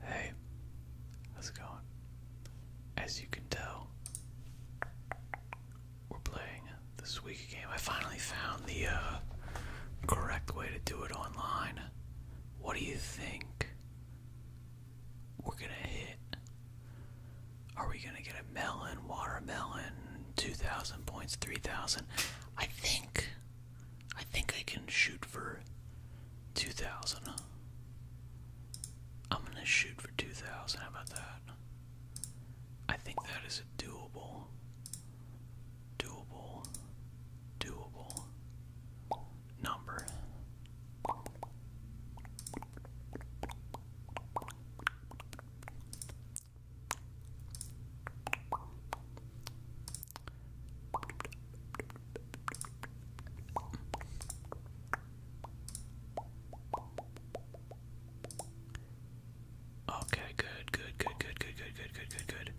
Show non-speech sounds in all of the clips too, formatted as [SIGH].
Hey, how's it going? As you can tell, we're playing this week game. I finally found the uh, correct way to do it online. What do you think we're gonna hit? Are we gonna get a melon, watermelon, 2,000 points, 3,000? I think I think I can shoot for 2,000. I'm gonna shoot for 2,000. How about that? I think that is a doable. Doable. Doable. Number. Okay, good, good, good, good, good, good, good, good, good, good.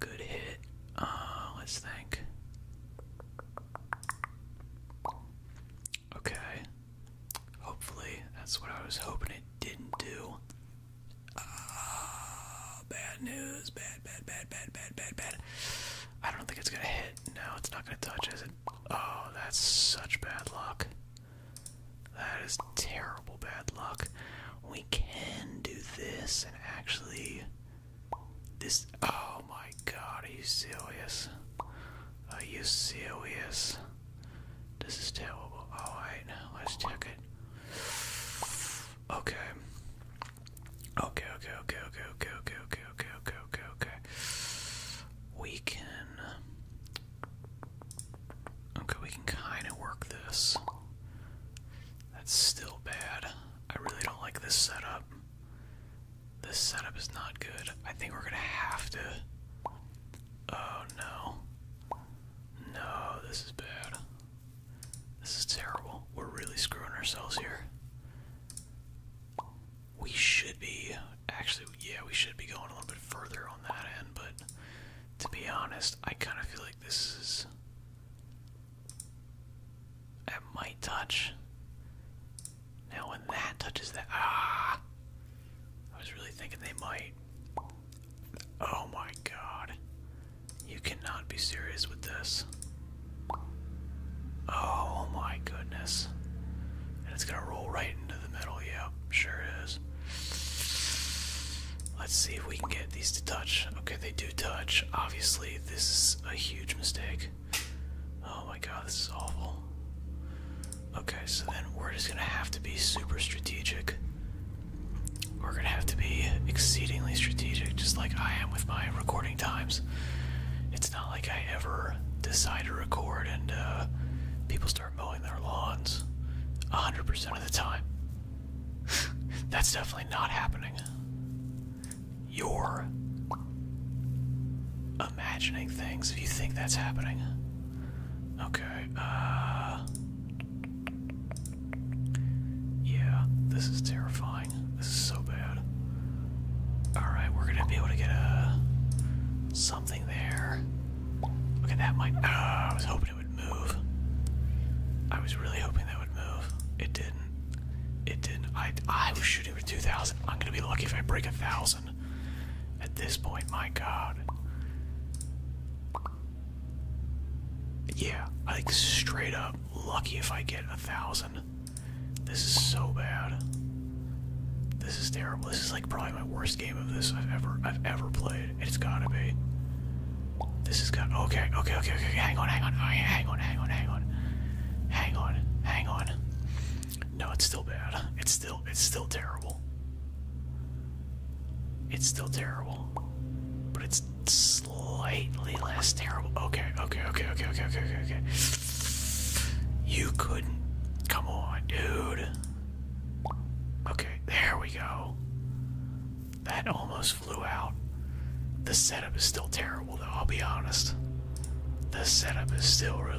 Good hit. Uh, let's think. Okay. Hopefully, that's what I was hoping it didn't do. Ah, bad news. Bad, bad, bad, bad, bad, bad, I don't think it's gonna hit. No, it's not gonna touch, is it? Oh, that's such bad luck. That is terrible bad luck. We can do this and actually. This. Oh my god, are you serious? Are you serious? This is terrible. Alright, let's check it. Okay. Okay, okay, okay, okay, okay, okay, okay, okay, okay, okay, We can Okay, we can kinda work this. That's still bad. I really don't like this setup. This setup is not good. I think we're gonna have to Oh no. No, this is bad. This is terrible. We're really screwing ourselves here. We should be, actually, yeah, we should be going a little bit further on that end, but to be honest, I kind of feel like this is. That might touch. Now, when that touches that. Ah! I was really thinking they might. Oh my god. You cannot be serious with this. Oh my goodness. And it's gonna roll right into the middle. Yep, sure is. Let's see if we can get these to touch. Okay, they do touch. Obviously, this is a huge mistake. Oh my god, this is awful. Okay, so then we're just gonna have to be super strategic we're gonna have to be exceedingly strategic, just like I am with my recording times. It's not like I ever decide to record and uh, people start mowing their lawns 100% of the time. [LAUGHS] That's definitely not happening. You're imagining things if you think that's happening. Okay, uh, yeah, this is terrifying. This is so bad. Alright, we're gonna be able to get a something there. Okay, that might. Ah, I was hoping it would move. I was really hoping that would move. It didn't. It didn't. I I was shooting for two thousand. I'm gonna be lucky if I break a thousand at this point, my god. Yeah, I think straight up lucky if I get a thousand. This is so bad. This is terrible. This is like probably my worst game of this I've ever I've ever played. It's gotta be. This is gonna. okay, okay, okay, okay, hang on, hang on, oh, hang on, hang on, hang on. Hang on, hang on. No, it's still bad. It's still it's still terrible. It's still terrible, but it's slightly less terrible. Okay, okay, okay, okay, okay, okay, okay, okay. You couldn't. Come on, dude. Okay, there we go. That almost flew out. The setup is still terrible, though, I'll be honest. The setup is still really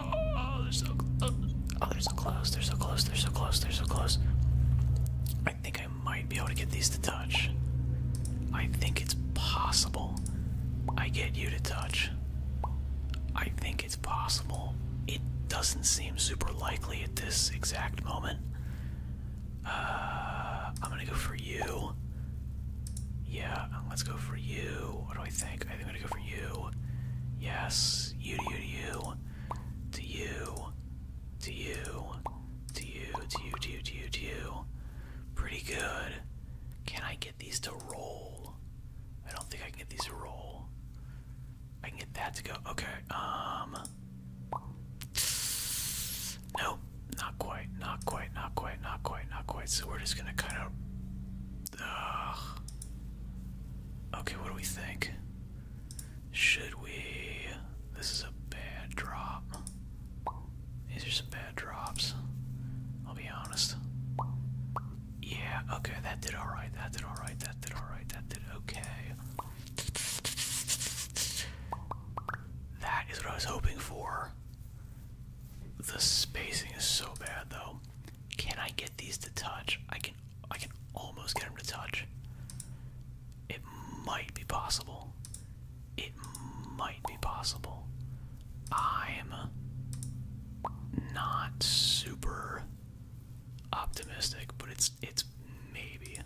Oh, they're so close. they're so close. They're so close. They're so close. I think I might be able to get these to touch. I think it's possible I get you to touch. I think it's possible. It doesn't seem super likely at this exact moment. Uh, I'm gonna go for you. Yeah, let's go for you. What do I think? I think I'm gonna go for you. Yes, this. You to you to you to you to you to you to you to you to you to you. Pretty good. Can I get these to roll? I don't think I can get these to roll. I can get that to go. Okay. Um. Nope. Not quite. Not quite. Not quite. Not quite. Not quite. So we're just gonna kind of Ugh. Okay, what do we think? Should we? This is a bad drop. These are some bad drops. I'll be honest. Yeah, okay, that did alright, that did alright, that did alright, that did okay. That is what I was hoping for. The spacing is so bad, though. Can I get get these to touch. I can I can almost get them to touch. It might be possible. It might be possible. I'm not super optimistic, but it's it's maybe.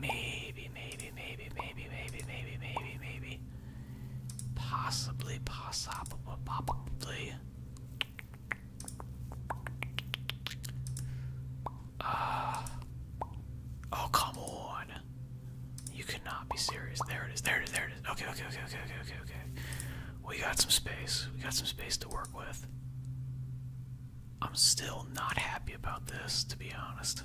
Maybe, maybe, maybe, maybe, maybe, maybe, maybe, maybe. Possibly, possibly, possibly. Uh, oh, come on. You cannot be serious. There it is. There it is. There it is. Okay, okay, okay, okay, okay, okay, okay. We got some space. We got some space to work with. I'm still not happy about this, to be honest.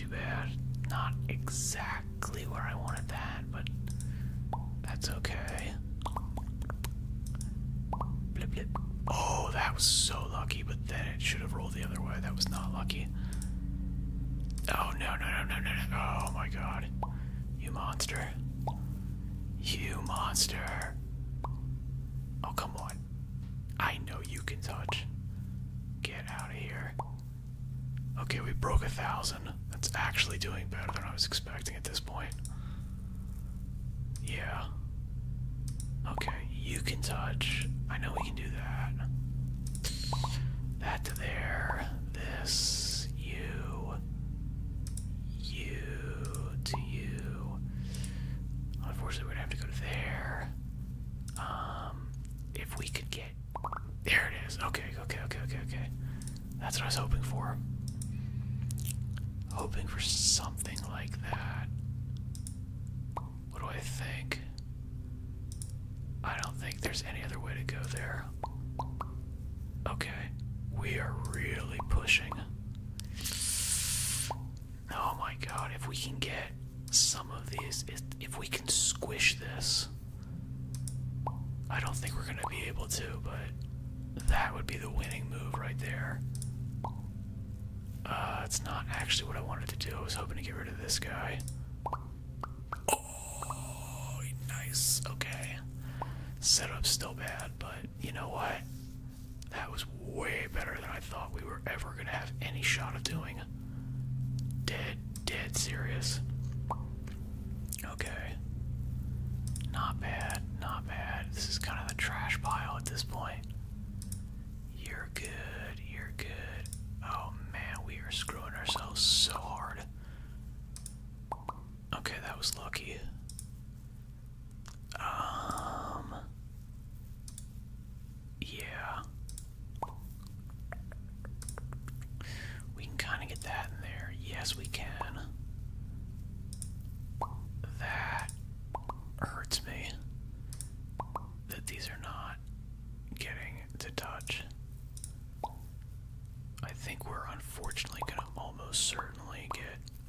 too bad. Not exactly where I wanted that, but that's okay. Oh, that was so lucky, but then it should have rolled the other way. That was not lucky. Oh, no, no, no, no, no. Oh, my God. You monster. You monster. Oh, come on. I know you can touch. Get out of here. Okay, we broke a thousand. That's actually doing better than I was expecting at this point. Yeah. Okay, you can touch. I know we can do that. That to there. This. You. You. To you. Unfortunately, we're gonna have to go to there. Um, if we could get there, it is. Okay, okay, okay, okay, okay. That's what I was hoping for. Hoping for something like that. What do I think? I don't think there's any other way to go there. Okay, we are really pushing. Oh my god, if we can get some of these, if we can squish this, I don't think we're gonna be able to, but that would be the winning move right there. Uh, it's not actually what I wanted to do. I was hoping to get rid of this guy. Oh, nice. Okay. Setup's still bad, but you know what? That was way better than I thought we were ever going to have any shot of doing. Dead, dead serious. Okay. Not bad, not bad. This is kind of the trash pile at this point. You're good, you're good. Oh man, we are screwing ourselves so hard. Okay, that was lucky. Um. Yeah. We can kind of get that in there. Yes, we can. That hurts me that these are not getting to touch. I think we're unfortunately going to almost certainly get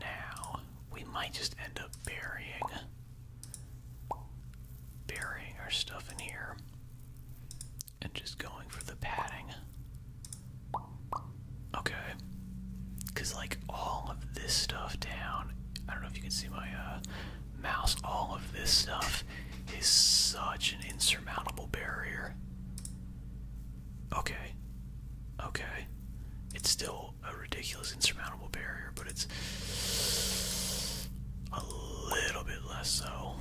Now, we might just end up burying burying our stuff in here and just going for the padding. Okay. Cause like all of this stuff down, I don't know if you can see my uh, mouse, all of this stuff is such an insurmountable barrier. Okay. Okay. It's still a ridiculous, insurmountable barrier, but it's a little bit less so.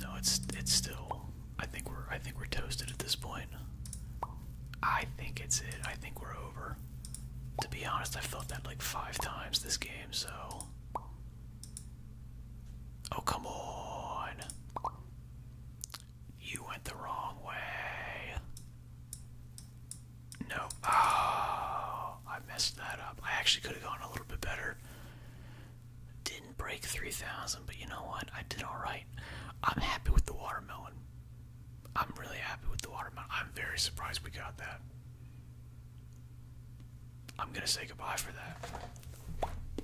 No, it's it's still. I think we're I think we're toasted at this point. I think it's it. I think we're over. To be honest, I've felt that like five times this game, so. Oh, come on. You went the wrong way. No. Oh, I messed that up. I actually could have gone a little bit better. Didn't break 3,000, but you know what? I did alright. I'm happy with the watermelon. I'm really happy with the watermelon. I'm very surprised we got that. I'm gonna say goodbye for that.